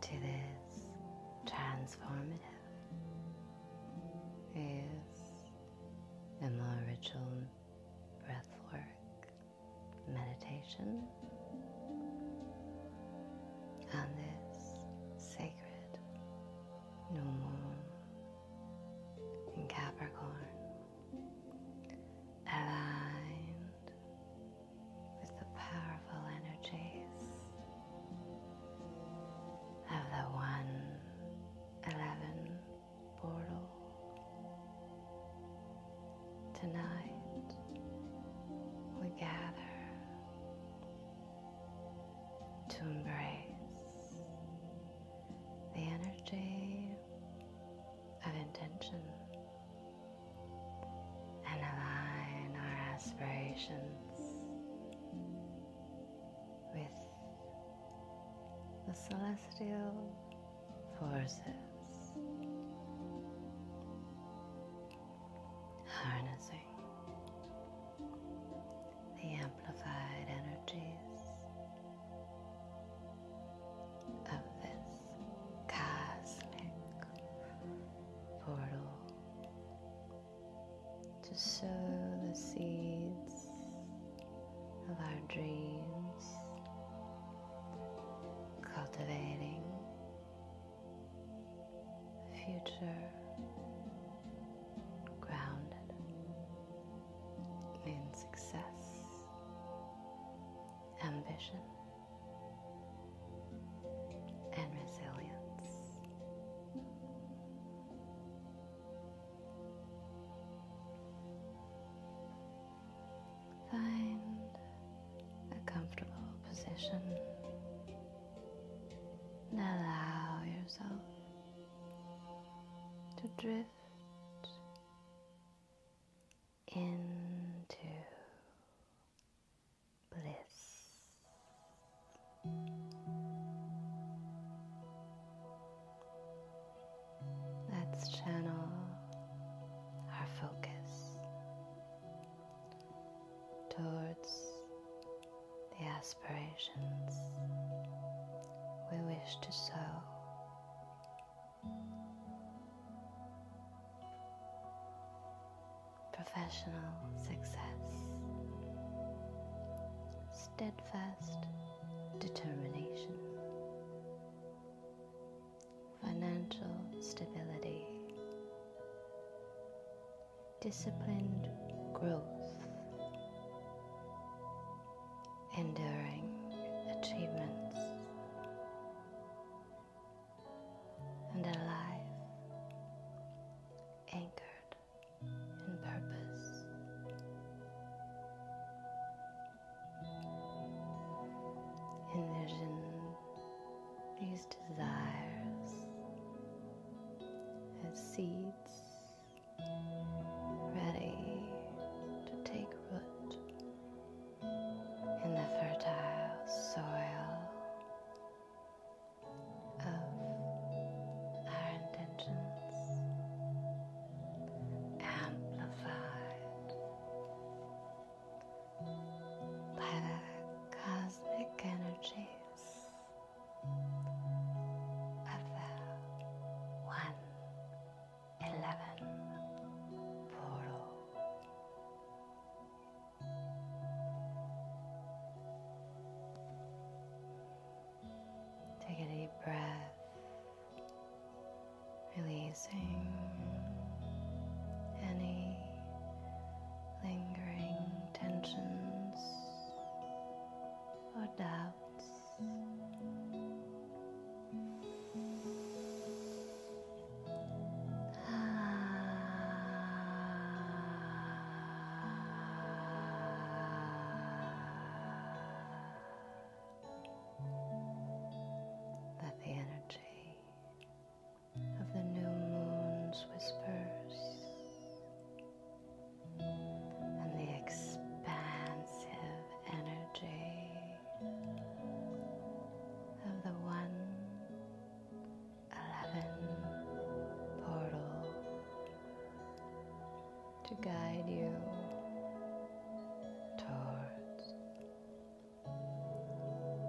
to this transformative is the more ritual breathwork meditation on this sacred new moon in Capricorn aligned with the powerful energies of the 111 portal. Tonight we gather to embrace the energy of intention and align our aspirations with the celestial forces, harnessing the amplified energies of this cosmic portal to sow the seeds of our dreams, cultivating a future grounded in success, ambition and resilience. Find a comfortable position and allow yourself to drift. Into bliss. Let's channel our focus towards the aspirations we wish to sow professional success, steadfast determination, financial stability, disciplined growth, enduring achievements, and alive, anchored in purpose. Envision these desires as seeds ready to take root in the fertile soil of our intentions, amplified by the cosmic energies of the one eleven portal. Take a deep breath, releasing any lingering tensions or doubts. Let the energy of the new moon's whispers and the expansive energy of the one 11 portal to guide you towards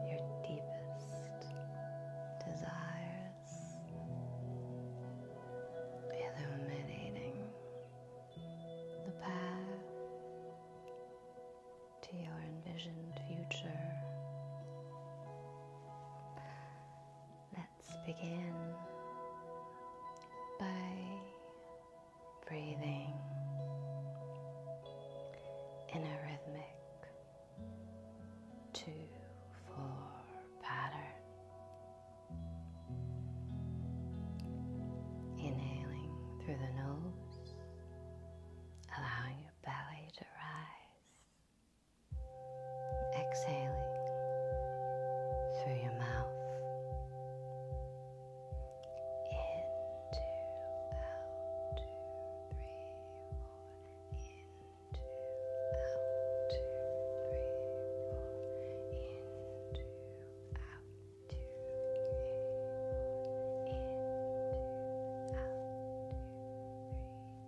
your deepest desires, illuminating the path to your envisioned future. Let's begin by breathing in a rhythmic two, four pattern. Inhaling through the nose, allowing your belly to rise exhaling through your mouth. In, two, out, two, three, four. In, two, out, two, three, four. In, two, out, two, three, four. In, two, out, two,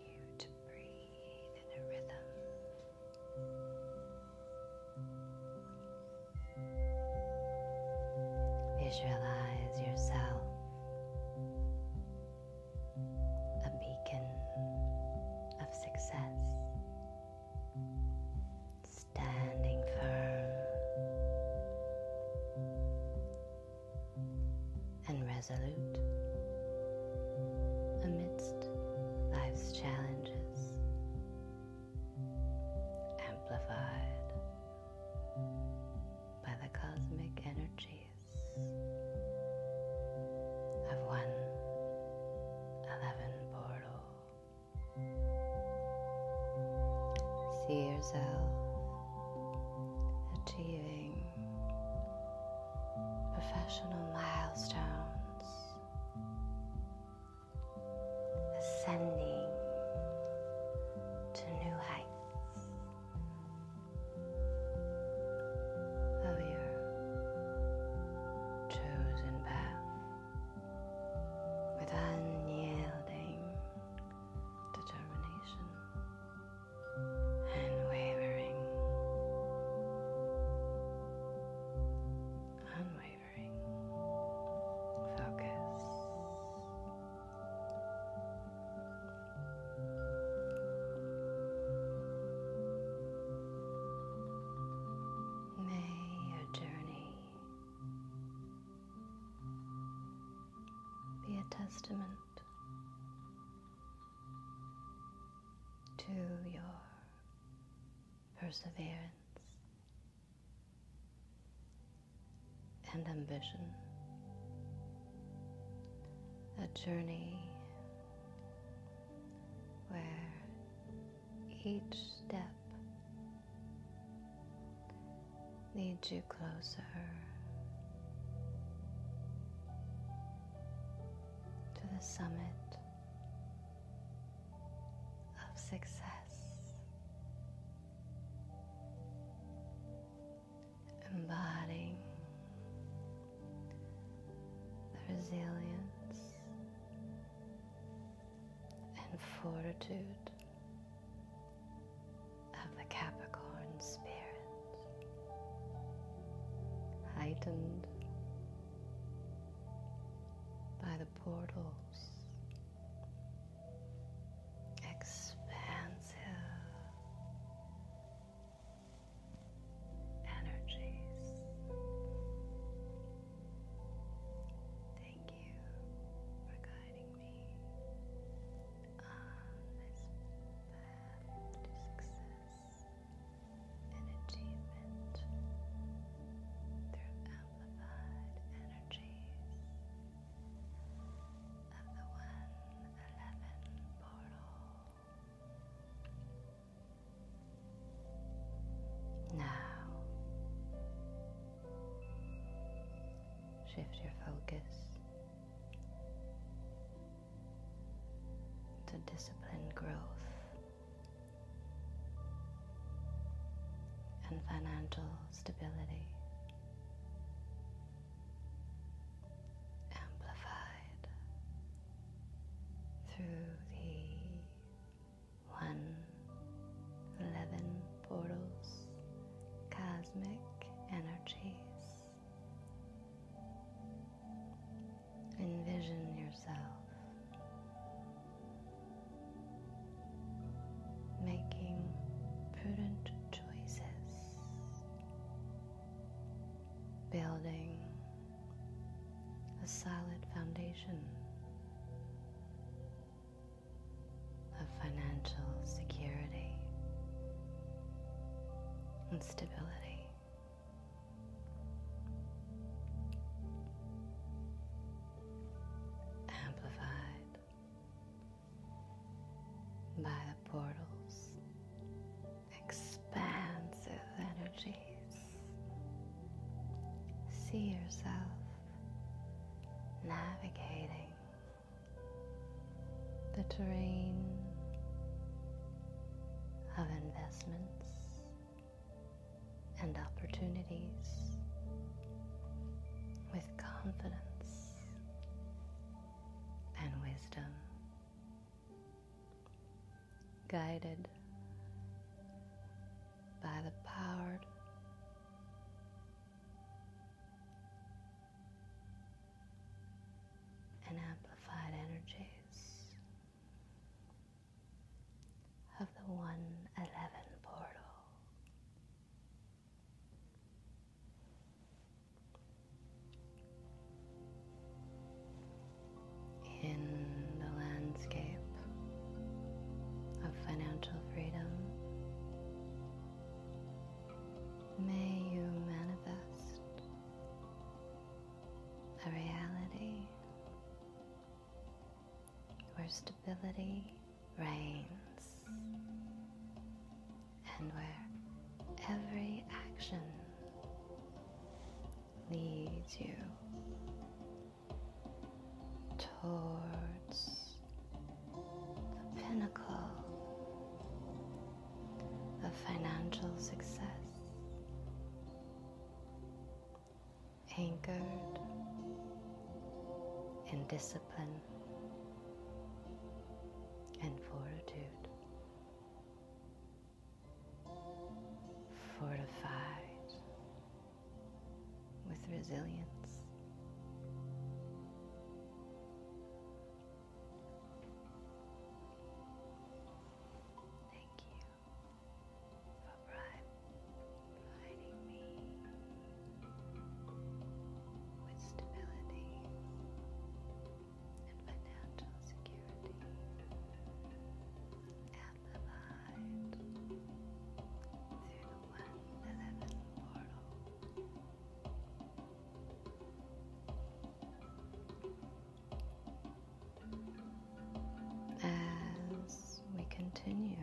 Visualize yourself a beacon of success, standing firm and resolute amidst life's challenges, amplified by the cosmic energies of one eleven portal. See achieving professional milestones, ascending to new heights of your chosen path with unyielding determination and wavering, unwavering focus. May your journey be a testament to your perseverance and ambition, a journey where each step Leads you closer to the summit of success. Embodying the resilience and fortitude of the Capricorn spirit, heightened by the portals, expansive energies. Thank you for guiding me on this path to success and achievement through amplified energies of the 111 portal. Now, shift your focus to disciplined growth and financial stability. Amplified through the 111 portals, cosmic energies. Envision yourself making prudent choices, building a solid foundation of financial security and stability. Amplified by the portals, expansive energies. See yourself navigating the terrain of investments and opportunities with confidence and wisdom, guided by the power and amplified energies of the 111 portal. In the landscape of financial freedom, May you manifest a reality where stability reigns and where every action leads you towards the pinnacle of financial success, anchored in discipline and fortitude, fortified with resilience. Thank you for providing me with stability and financial security and through the 111 portal as we continue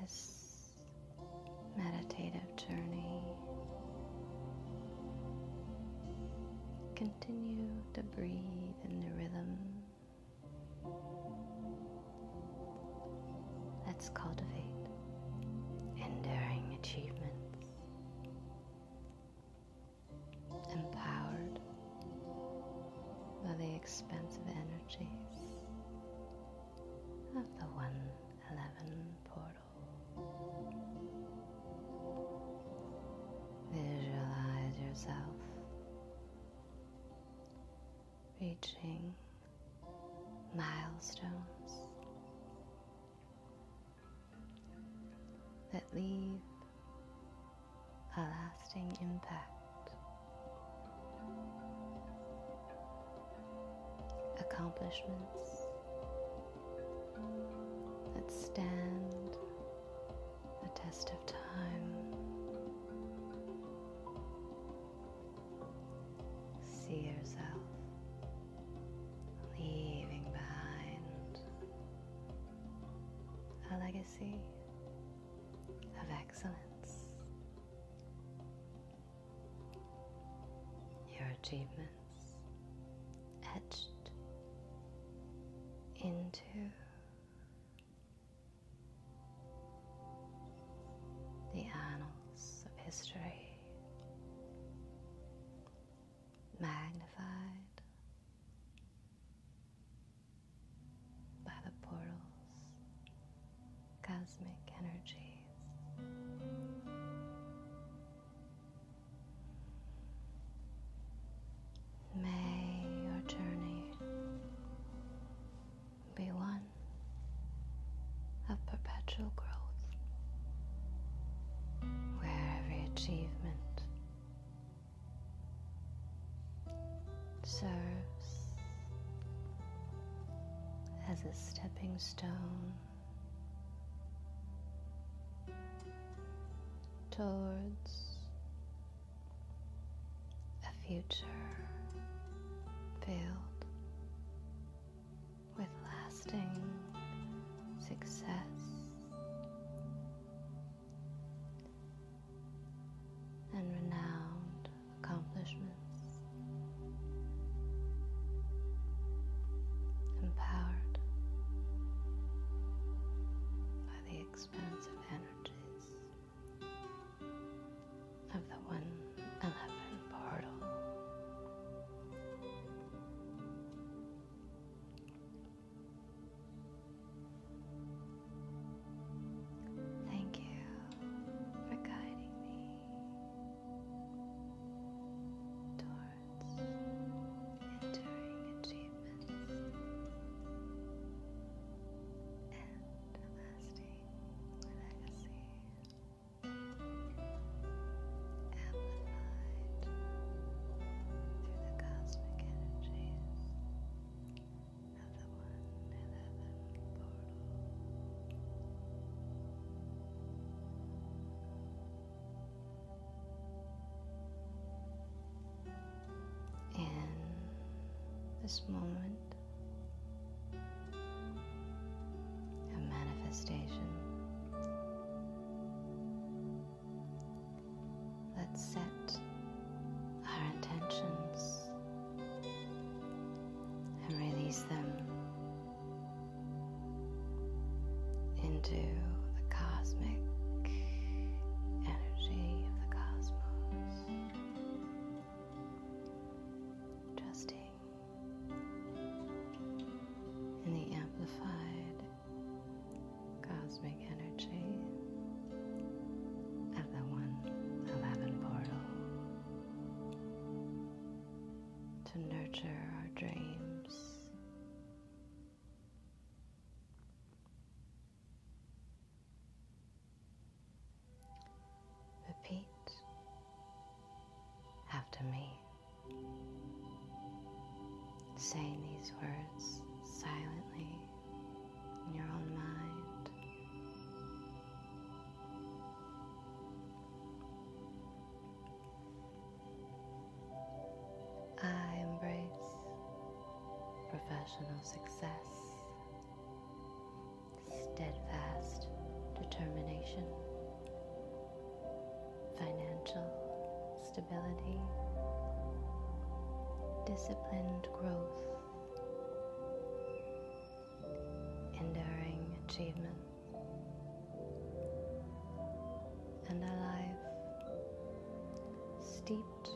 this meditative journey. Continue to breathe in the rhythm Let's cultivate enduring achievements, empowered by the expansive energies of the 111 portal. Visualize yourself reaching milestones that leave a lasting impact, accomplishments that stand the test of time. See yourself leaving behind a legacy of excellence. Your achievements etched into the annals of history, magnified by the portals, cosmic energies. May your journey be one of perpetual growth, where every achievement serves as a stepping stone towards a future filled with lasting success. And renowned accomplishments, empowered by the expansive energies of the 111 portal. Thank you for guiding me towards enduring achievements and lasting legacy amplified through the cosmic energies of the One portal. In this moment, a manifestation. Let's set our intentions and release them into the cosmic energy of the cosmos. Trusting in the amplified cosmic energy at the 111 portal to nurture our dreams. Repeat after me. Saying these words silently in your own mind. I embrace professional success steadfast determination, financial stability, disciplined growth, enduring achievement, and alive, steeped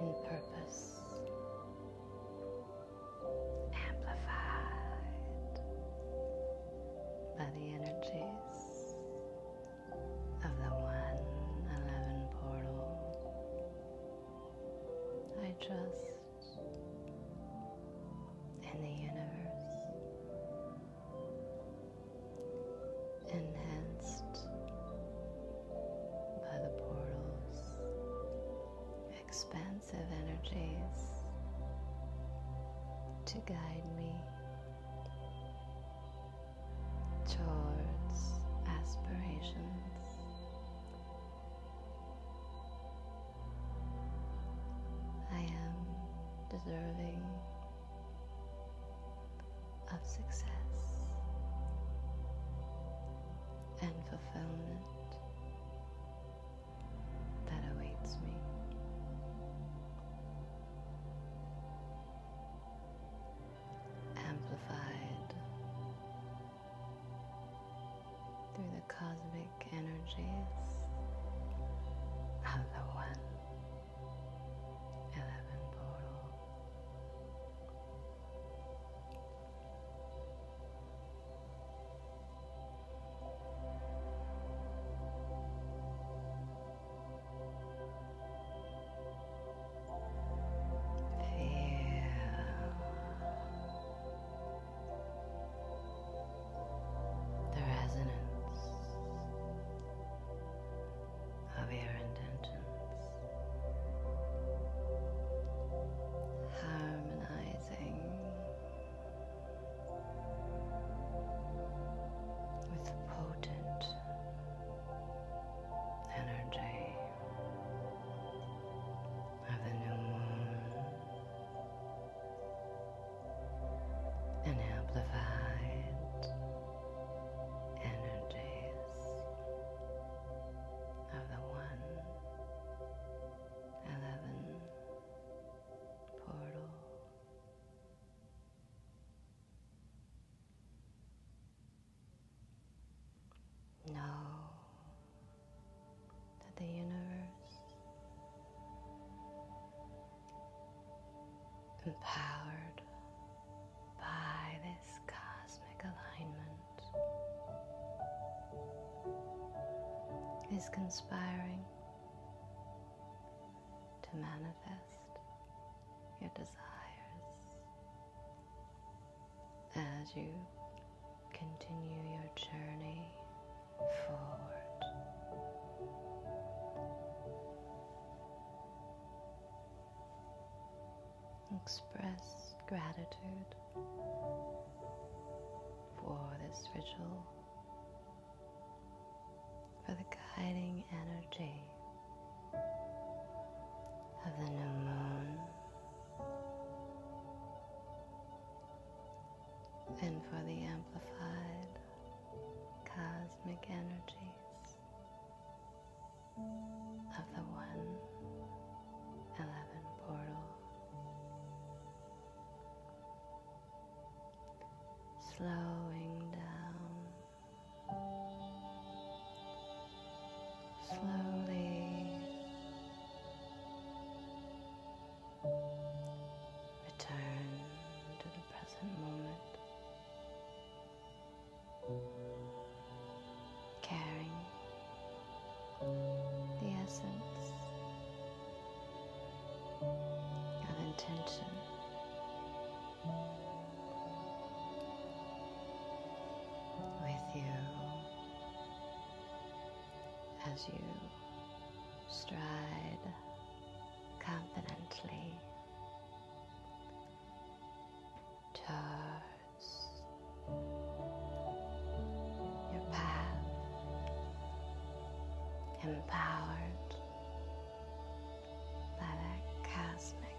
in purpose amplified by the energies of the 111 portal. I trust in the universe, enhanced by the portals expansive energies to guide me towards aspirations. I am deserving of success and fulfillment that awaits me. Amplified through the cosmic energies of the One Eleven Portal the resonance of your intentions harmonized with potent energy of the new moon and amplified energies of the one eleven portal. Know that the universe empowered by this cosmic alignment is conspiring to manifest your desires as you continue your journey forward. Express gratitude for this ritual, for the guiding energy of the new moon, and for the amplified cosmic energies of the 111 portal slowing down, slowly return to the present moment, caring the essence of intention. With you as you stride confidently towards your path empowered by that cosmic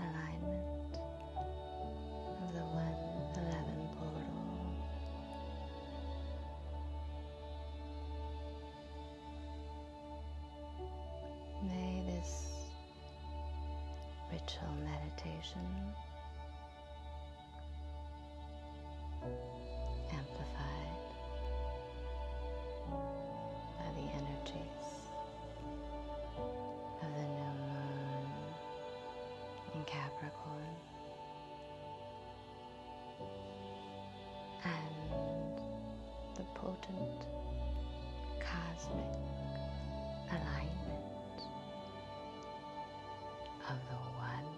alignment of the 111 portal. May this ritual meditation amplified by the energies of the new moon in Capricorn and the potent cosmic alignment of the one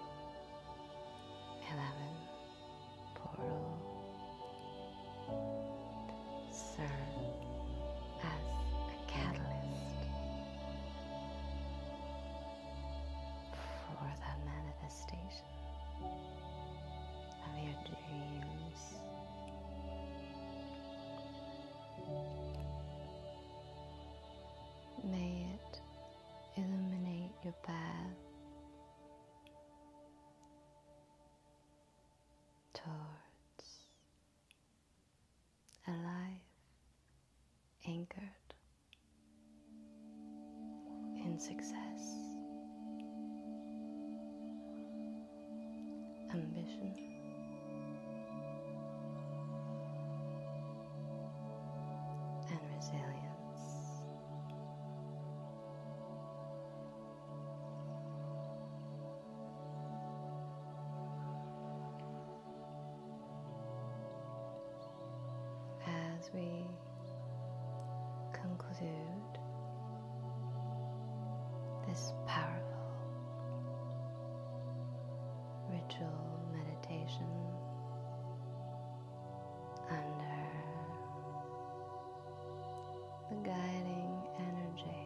eleven portal serve as a catalyst for the manifestation of your dreams. May it illuminate your path towards a life anchored in success, ambition and resilience. As we conclude this powerful ritual meditation under the guiding energy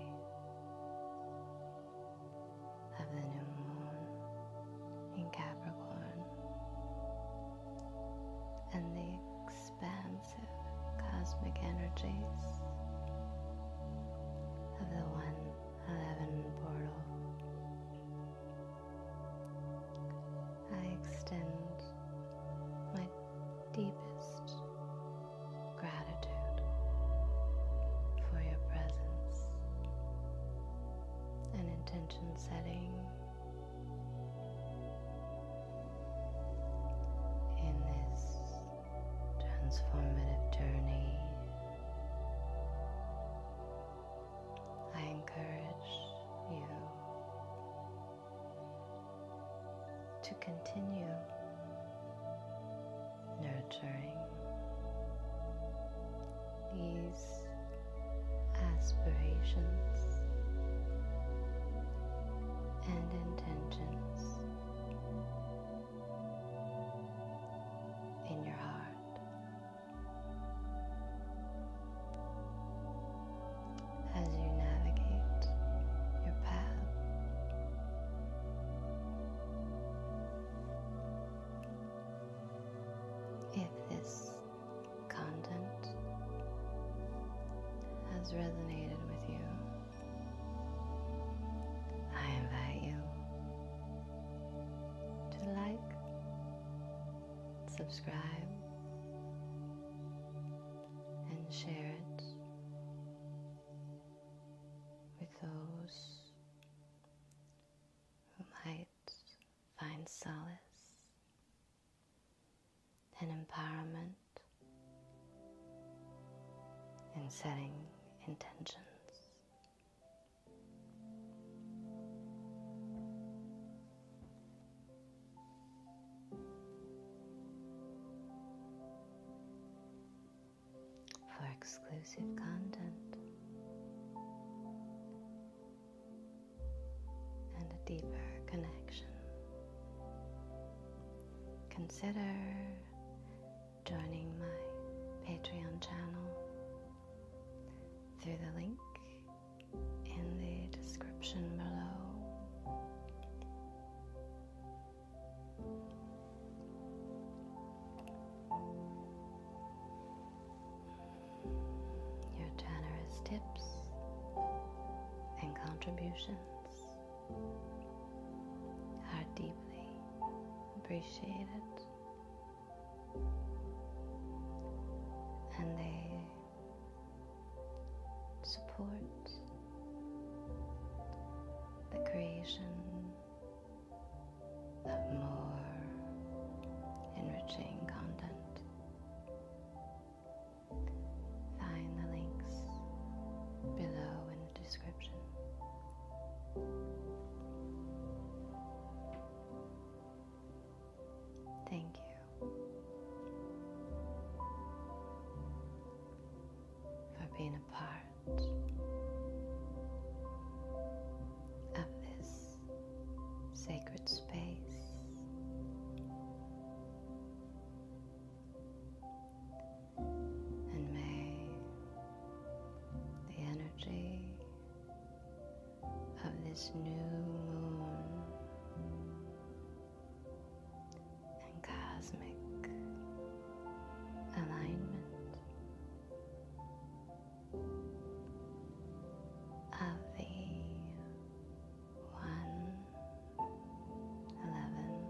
of the new moon in Capricorn and the expansive cosmic energies of the one eleven portal. I extend my deepest gratitude for your presence and intention setting. In this transformative journey I encourage you to continue nurturing these aspirations and intentions in your heart as you navigate your path. If this content has resonated with you, I invite you to like, subscribe, and share it with those who might find solace and empowerment in setting intentions for exclusive content and a deeper connection, consider joining my Patreon channel through the link in the description below. Your generous tips and contributions are deeply appreciated and they support the creation of more enriching content. Find the links below in the description Thank you for being a part of this sacred space. And may the energy of this new moon and cosmic alignment of the one eleven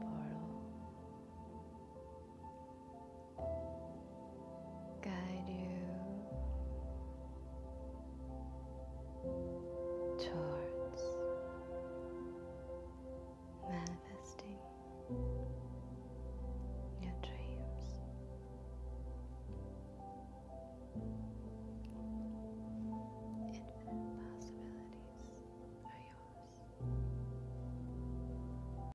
portal guide you towards manifesting your dreams. Infinite possibilities are yours.